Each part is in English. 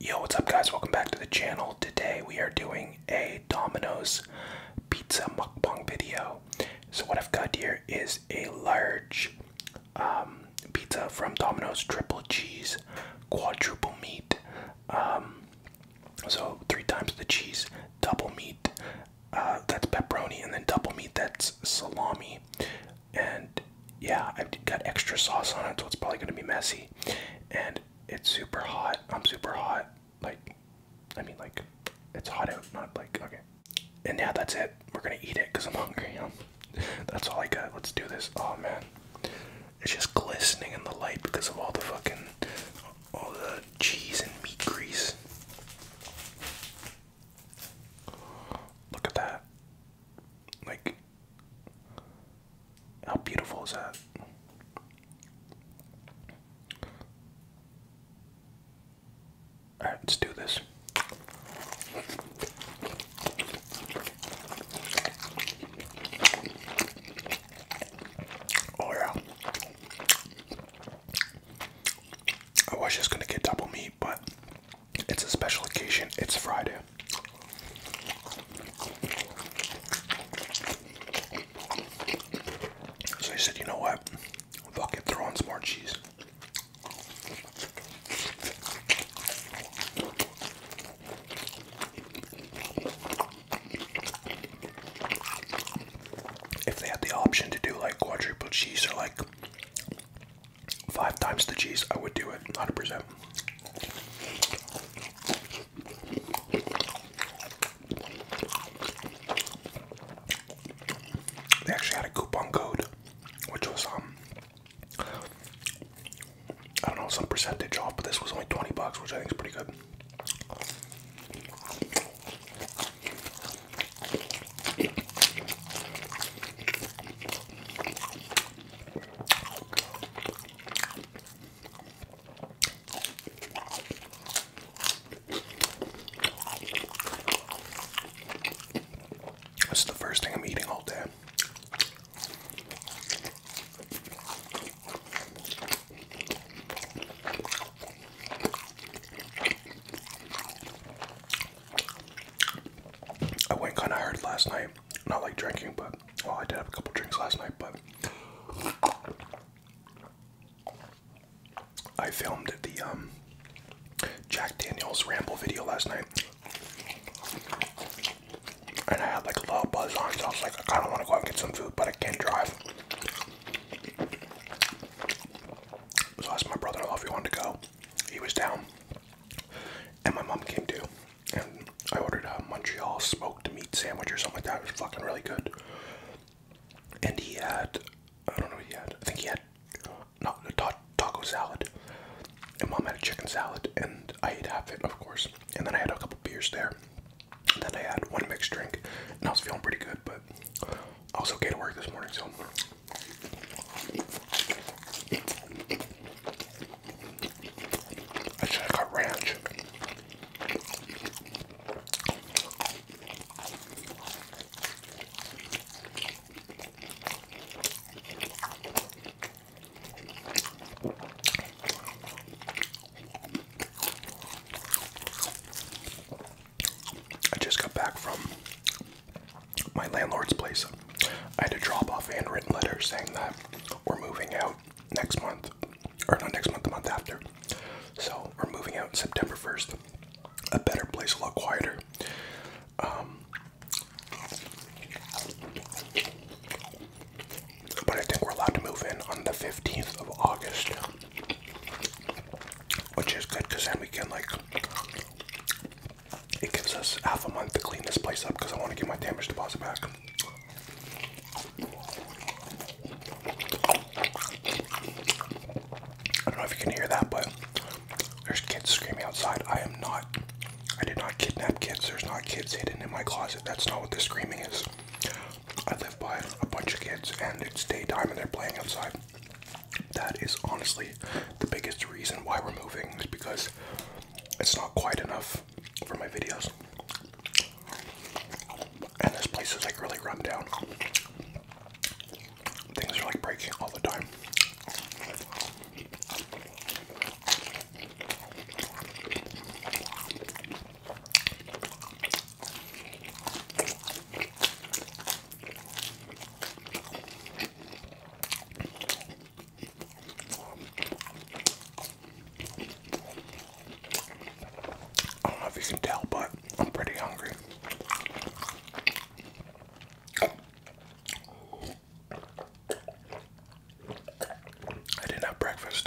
Yo, what's up, guys? Welcome back to the channel. Today we are doing a Domino's pizza mukbang video. So what I've got here is a large um, pizza from Domino's, triple cheese, quadruple meat. Um, so three times the cheese, double meat. Uh, that's pepperoni, and then double meat. That's salami and yeah, I've got extra sauce on it, so it's probably gonna be messy. And it's super hot. I'm super hot. Like, I mean, like, it's hot out, not like okay. And yeah, that's it. We're gonna eat it because I'm hungry. Um, that's all I got. Let's do this. Oh man, it's just glistening in the light because of all the fucking, all the cheese and meat grease. Look at that. Like, how beautiful is that? Alright, let's do this. Oh, yeah. I was just gonna get double meat, but it's a special occasion. It's Friday. So I said, you know what? Fuck it, throw on some more cheese. If they had the option to do like quadruple cheese or like five times the cheese, I would do it 100%. They actually had a coupon code, which was um, I don't know some percentage off, but this was only twenty bucks, which I think is pretty good. This is the first thing I'm eating all day. I went kind of hard last night. Not like drinking, but well, I did have a couple drinks last night, but I filmed the um, Jack Daniels ramble video last night, and I had like a little buzz on, so I was like, I kind of want to go out and get some food, but I can't drive. So I asked my brother-in-law if he wanted to go. He was down. And my mom came too. And I ordered a uh, Montreal smoked meat sandwich or something like that. It was fucking really good. And he had, I don't know what he had. I think he had no, a taco salad. And mom had a chicken salad. And I ate half it, of course. And then I had a couple beers there. And then I had one mixed drink. And I was feeling pretty good. But I was okay to work this morning. So it's like a ranch. I just got back from my landlord's place. I had to drop off handwritten letters saying that we're moving out next month, or not next month, the month after. So we're moving out September 1st. A better place, a lot quieter. Um, but I think we're allowed to move in on the 15th of August, which is good because then we can like it gives us half a month to clean this place up because I want to get my damage deposit back. I don't know if you can hear that, but there's kids screaming outside. I am not, I did not kidnap kids. There's not kids hidden in my closet. That's not what this screaming is. I live by a bunch of kids and it's daytime and they're playing outside. That is honestly the biggest reason why we're moving is because it's not quite enough for my videos. And this place is like really run down. Things are like breaking all the time. I don't know if you can tell, but I'm pretty hungry. I didn't have breakfast.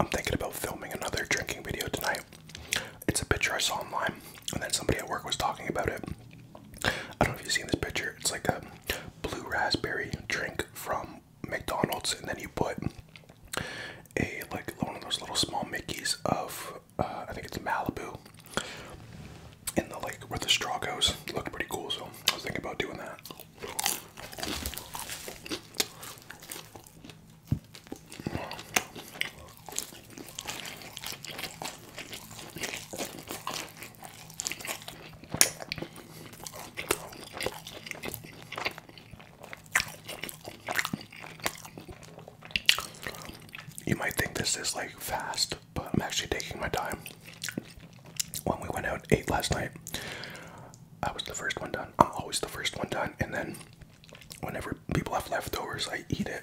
I'm thinking about filming another drinking video tonight. It's a picture I saw online, and then somebody at work was talking about it. I don't know if you've seen this picture. It's like a blue raspberry drink from McDonald's, and then you put a like one of those little small Mickey's of uh, I think it's Malibu in the like where the straw goes. It looked pretty cool, so I was thinking about doing that. You might think this is like fast, but I'm actually taking my time. When we went out ate last night, I was the first one done. I'm always the first one done, and then whenever people have leftovers, I eat it.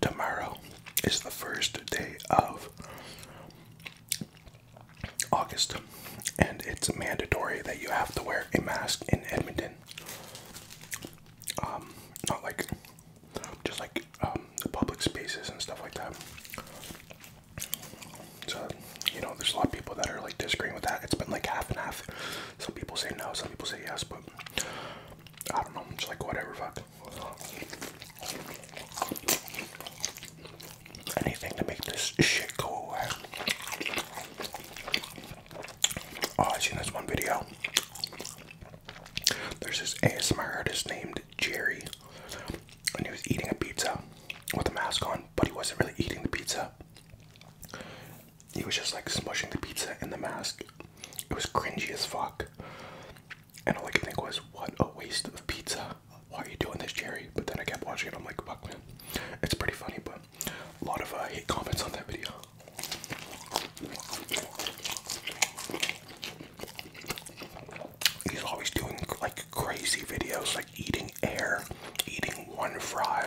tomorrow is the first day of August, and it's mandatory that you have to wear a mask in Edmonton. Um, not like just like um, the public spaces and stuff like that. So, you know, there's a lot of people that are like disagreeing with that. It's been like half and half. Some people say no, some people say yes, but I don't know. It's like, whatever, fuck. Anything to make this shit go away. Oh, I've seen this one video. There's this ASMR artist named Jerry, and he was eating a pizza with a mask on, but he wasn't really eating the pizza. He was just like smushing the pizza in the mask. It was cringy as fuck. And all I could think was, what a waste of pizza. Why are you doing this, Jerry? But then I kept watching it. I'm like, fuck, man. It's pretty funny, but a lot of uh, hate comments on that video. He's always doing like crazy videos, like eating air, eating one fry.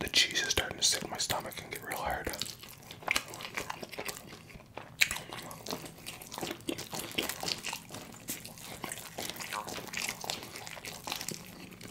The cheese is starting to sit my stomach and get real hard.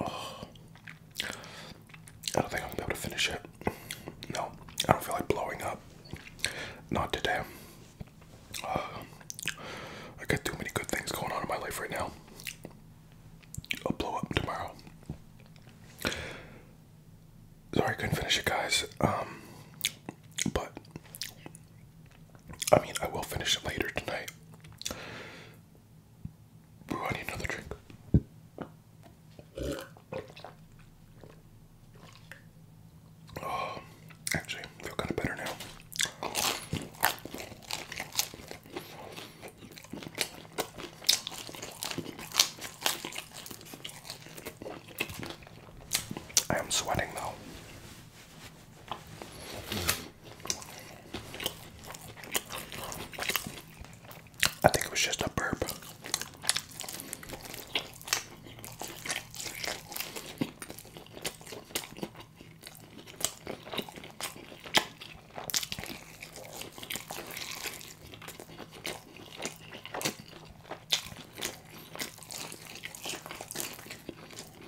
Oh. I don't think I'm gonna be able to finish it. No, I don't feel like blowing up. Not today. Uh, I got too many good things going on in my life right now. I'll blow up tomorrow. Sorry I couldn't finish it, guys. Um, but I mean, I will finish it later tonight. I need another drink. Oh, actually, feel kind of better now. I am sweating though. I think it was just a burp.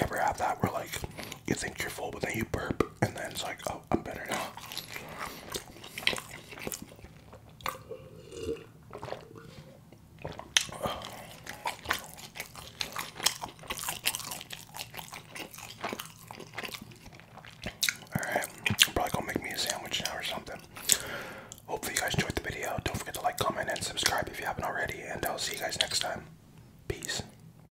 ever have that? We're like, you think you're full, but then you burp, and then it's like, oh, I'm better now. Alright, I'm probably gonna make me a sandwich now or something. Hopefully, you guys enjoyed the video. Don't forget to like, comment, and subscribe if you haven't already. And I'll see you guys next time. Peace.